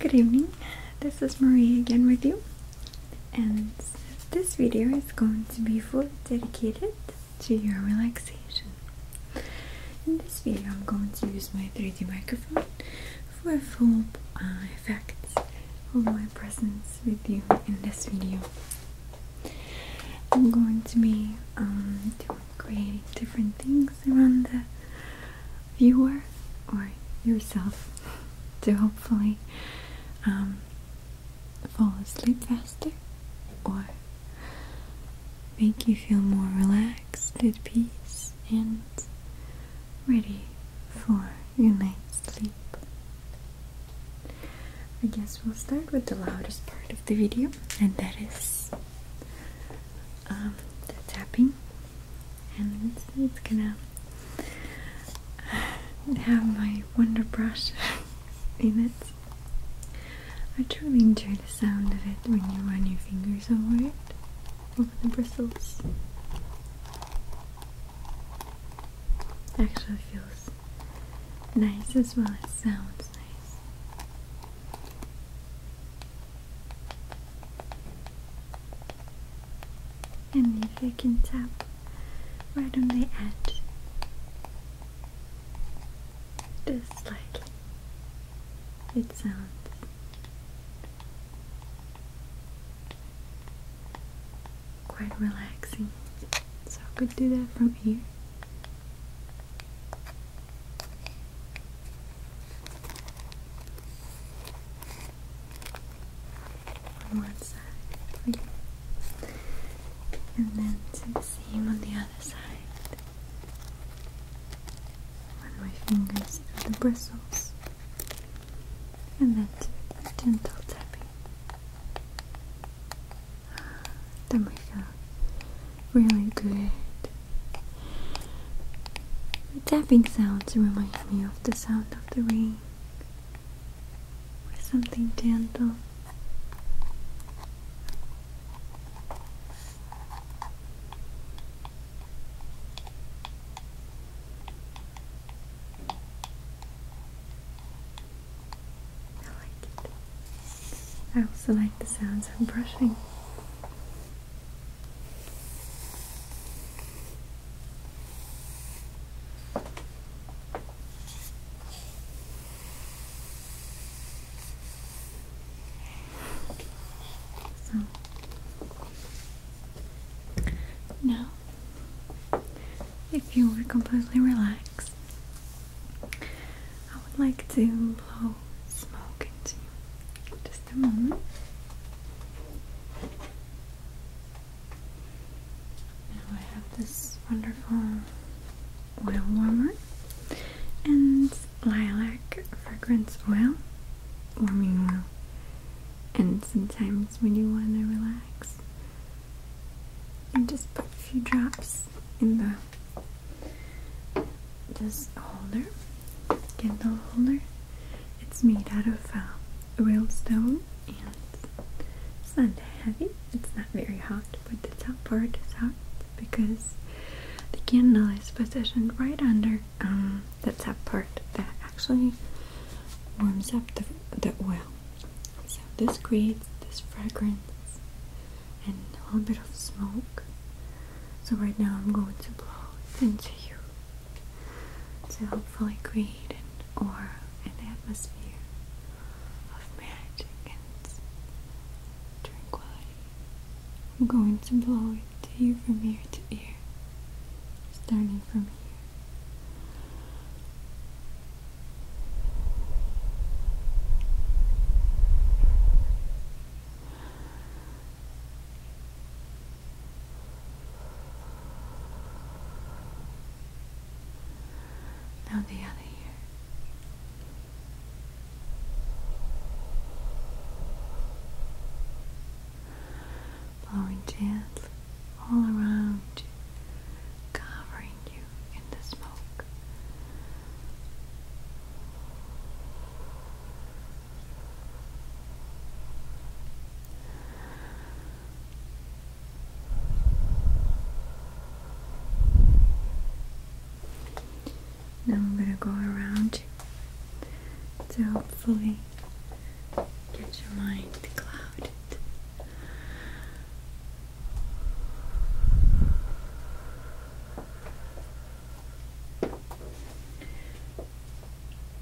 Good evening, this is Marie again with you and this video is going to be fully dedicated to your relaxation. In this video I'm going to use my 3D microphone for full uh, effects of my presence with you in this video. I'm going to be um, doing creating different things around the viewer or yourself to hopefully um, fall asleep faster or make you feel more relaxed, at peace, and ready for your night's sleep. I guess we'll start with the loudest part of the video, and that is um, the tapping and it's, gonna have my wonder brush in it. I truly enjoy the sound of it when you run your fingers over it, over the bristles. It actually feels nice as well as sounds nice and if you can tap right on the edge just slightly it sounds quite relaxing so I could do that from here one side and then the same on the other side. Run my fingers through the bristles, and then gentle tapping. That might really good. The tapping sounds remind me of the sound of the rain or something gentle. I like it. I also like the sounds of brushing. So if you were completely relaxed, I would like to blow smoke into you. Now I have this wonderful oil warmer and lilac fragrance oil, warming oil. And sometimes when you want to relax, you just put a few drops in the this holder, Kindle holder. It's made out of uh, real stone and it's not heavy. It's not very hot, but the top part is hot because the candle is positioned right under um, the top part that actually warms up the, the oil. So this creates this fragrance and a little bit of smoke so right now I'm going to blow into you to hopefully create an aura, an atmosphere of magic and tranquility. I'm going to blow it to you from ear to ear, starting from here. Now the other ear. Blowing gently all around covering you in the smoke. Now I'm going to go around so hopefully get your mind clouded.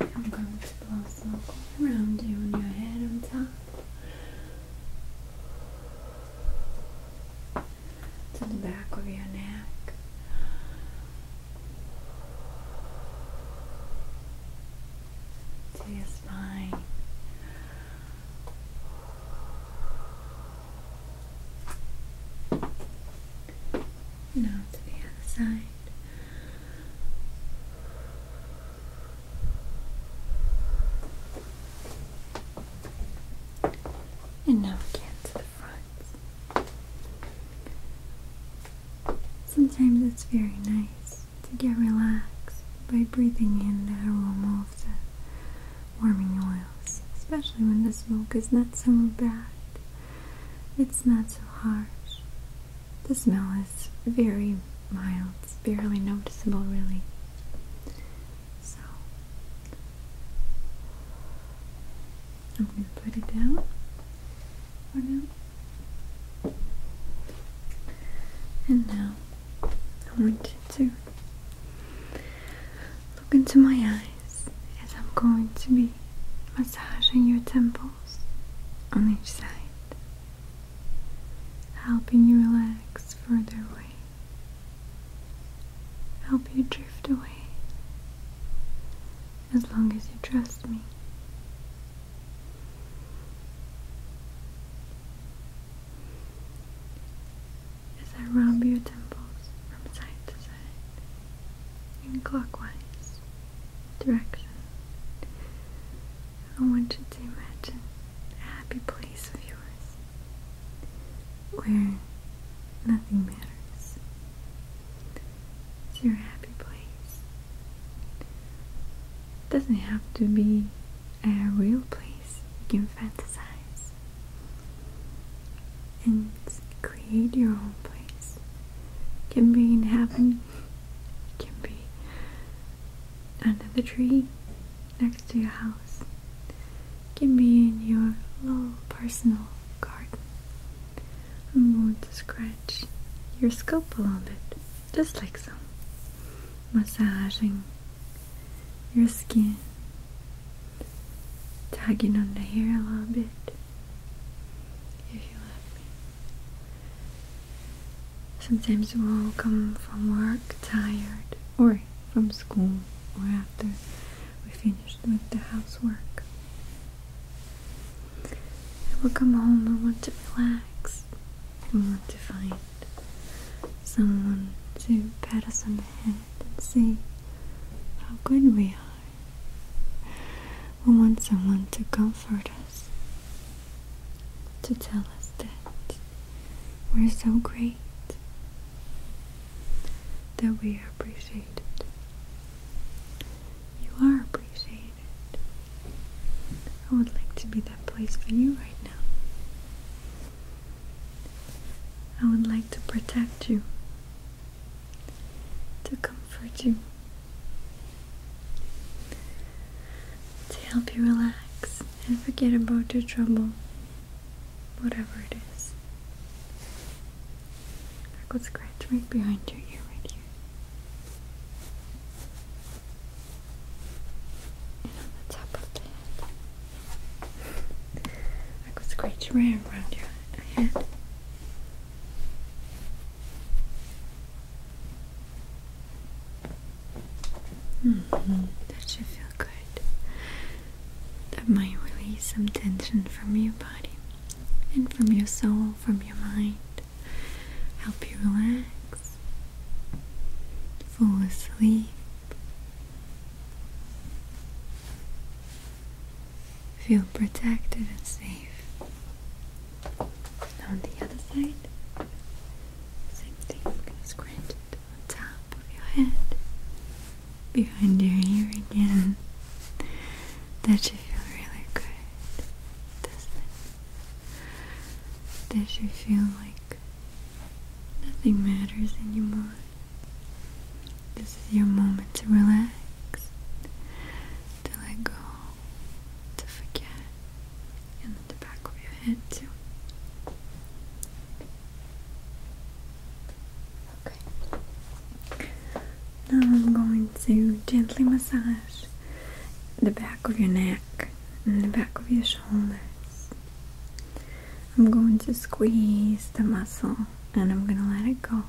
I'm going to blow smoke around you and your head on top to the back of your neck. To your spine, now to the other side. And now again to the front. Sometimes it's very nice to get relaxed by breathing in the aroma of the warming oils, especially when the smoke is not so bad. It's not so harsh. The smell is very mild, it's barely noticeable, really. So, I'm going to put it down for now. And now, I want to Look into my eyes as I'm going to be massaging your temples on each side, helping you relax further away, help you drift away as long as you trust me as I rub your temples from side to side in clockwise direction. I want you to imagine a happy place of yours where nothing matters. It's your happy place. It doesn't have to be a real place. You can fantasize and create your own place. It can be in heaven, it can be under the tree next to your house, it can be in your little personal garden. I'm going to scratch your scalp a little bit, just like so, massaging your skin tagging on the hair a little bit if you let me. Sometimes we'll come from work tired or from school or after we finished with the housework. And we'll come home and want to relax. We want to find someone to pat us on the head and see how good we are. We want someone to comfort us, to tell us that we're so great, that we are appreciated. You are appreciated. I would like to be that place for you right now. I would like to protect you to comfort you, to help you relax and forget about your trouble, whatever it is. I could scratch right behind your ear right here. And on the top of the head. I could scratch around your head. Mm -hmm. That should feel good. That might release some tension from your body and from your soul, from your mind. Help you relax, fall asleep, Feel protected and safe. on the other side, same thing. You're on top of your head, behind your ear again. That should feel really good, doesn't it? That should feel like nothing matters anymore. This is your moment to relax, to let go, to forget, and the back of your head too. Okay. Now I'm going to gently massage the back of your neck and the back of your shoulders. I'm going to squeeze the muscle and I'm going to let it go.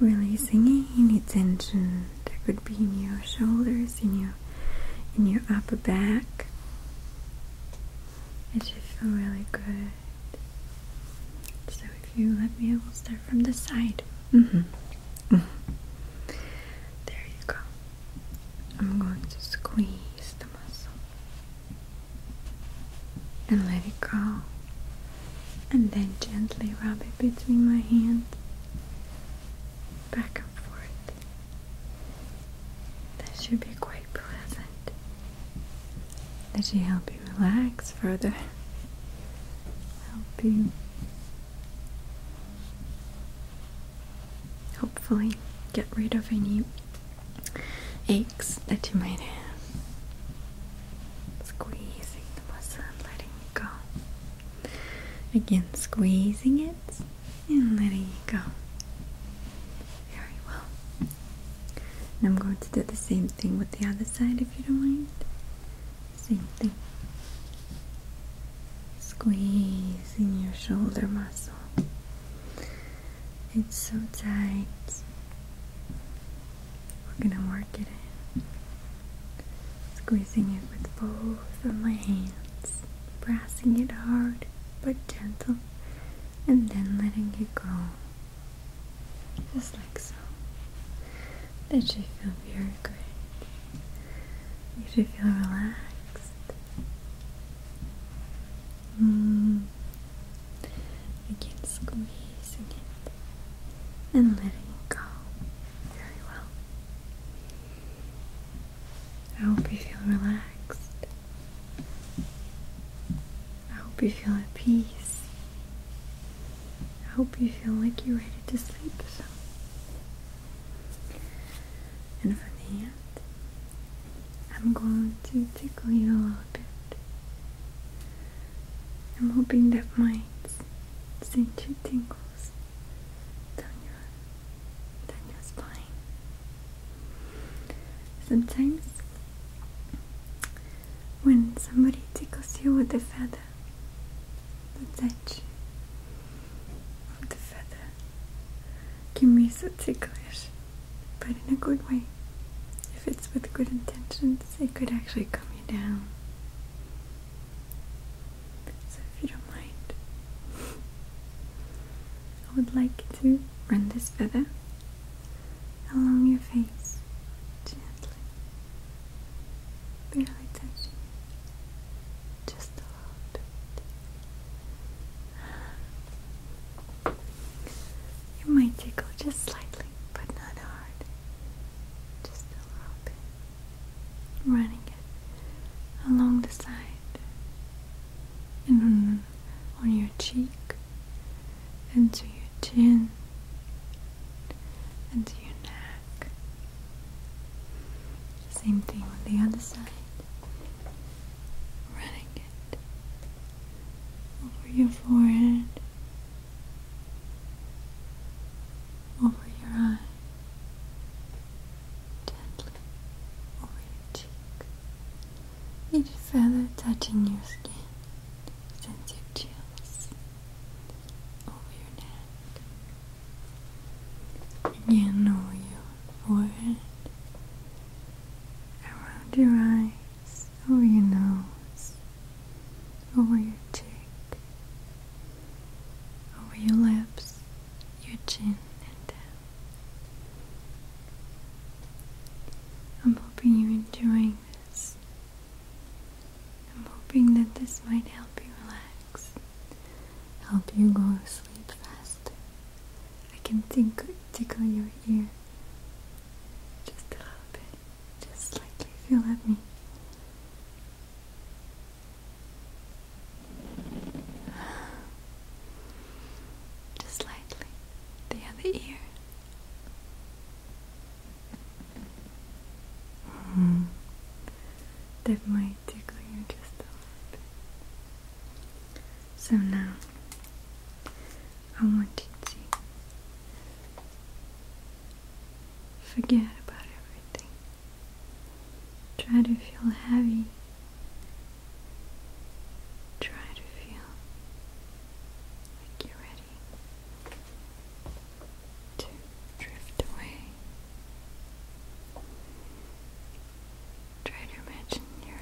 Releasing any tension that could be in your shoulders, in your in your upper back. It should feel really good. So if you let me, I will start from the side. Mm-hmm. Mm-hmm. There you go. I'm going to squeeze the muscle and let it go. And then gently rub it between my hands, back and forth. That should be quite pleasant. That should help you relax further, help you hopefully get rid of any aches that you might have. Squeezing the muscle letting go. Again, squeezing it and letting it go. Very well. And I'm going to do the same thing with the other side if you don't mind. Same thing. Squeezing your shoulder muscle it's so tight. We're gonna work it in. Squeezing it with both of my hands, pressing it hard but gentle, and then letting it go. Just like so. That should feel very great. You should feel relaxed. Mm. Again, squeezing it and letting it go. Very well. I hope you feel relaxed. I hope you feel at peace. I hope you feel like you're ready to sleep And from the end, I'm going to tickle you a little bit. I'm hoping that might send you tingles down your, down your spine. Sometimes, when somebody tickles you with a feather, the touch of the feather can be so ticklish, but in a good way. If it's with good intentions, it could actually calm you down. So, if you don't mind, I would like to run this feather along your face gently, barely touching just a little bit. You might tickle just slightly, but not hard. Just a little bit. Running it along the side and on, your cheek into your chin into your neck. Same thing on the other side. Running over your forehead, over your eye, gently over your cheek, each feather touching your skin. Sense your chills over your neck. Again over your forehead, around your eye, over oh, your nose, over your cheek, over your lips, your chin, and down. I'm hoping you're enjoying this. I'm hoping that this might help you relax, help you go to sleep faster. I can think tickle your ear just a little bit, just lightly. If you at me. Just lightly, the other ear. Mm. That might tickle you just a little bit. So now I want you to forget about everything. Try to feel heavy. Try to feel like you're ready to drift away. Try to imagine you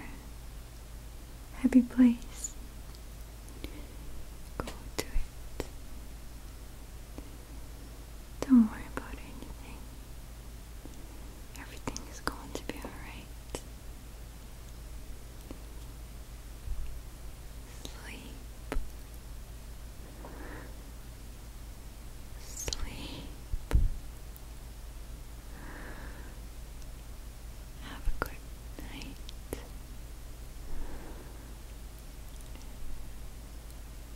happy place. Go to it. Don't worry about anything. Everything is going to be alright. Sleep. Sleep. Have a good night.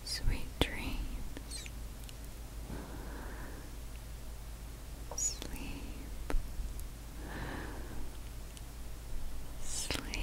Sweet dreams. Sleep. Sleep.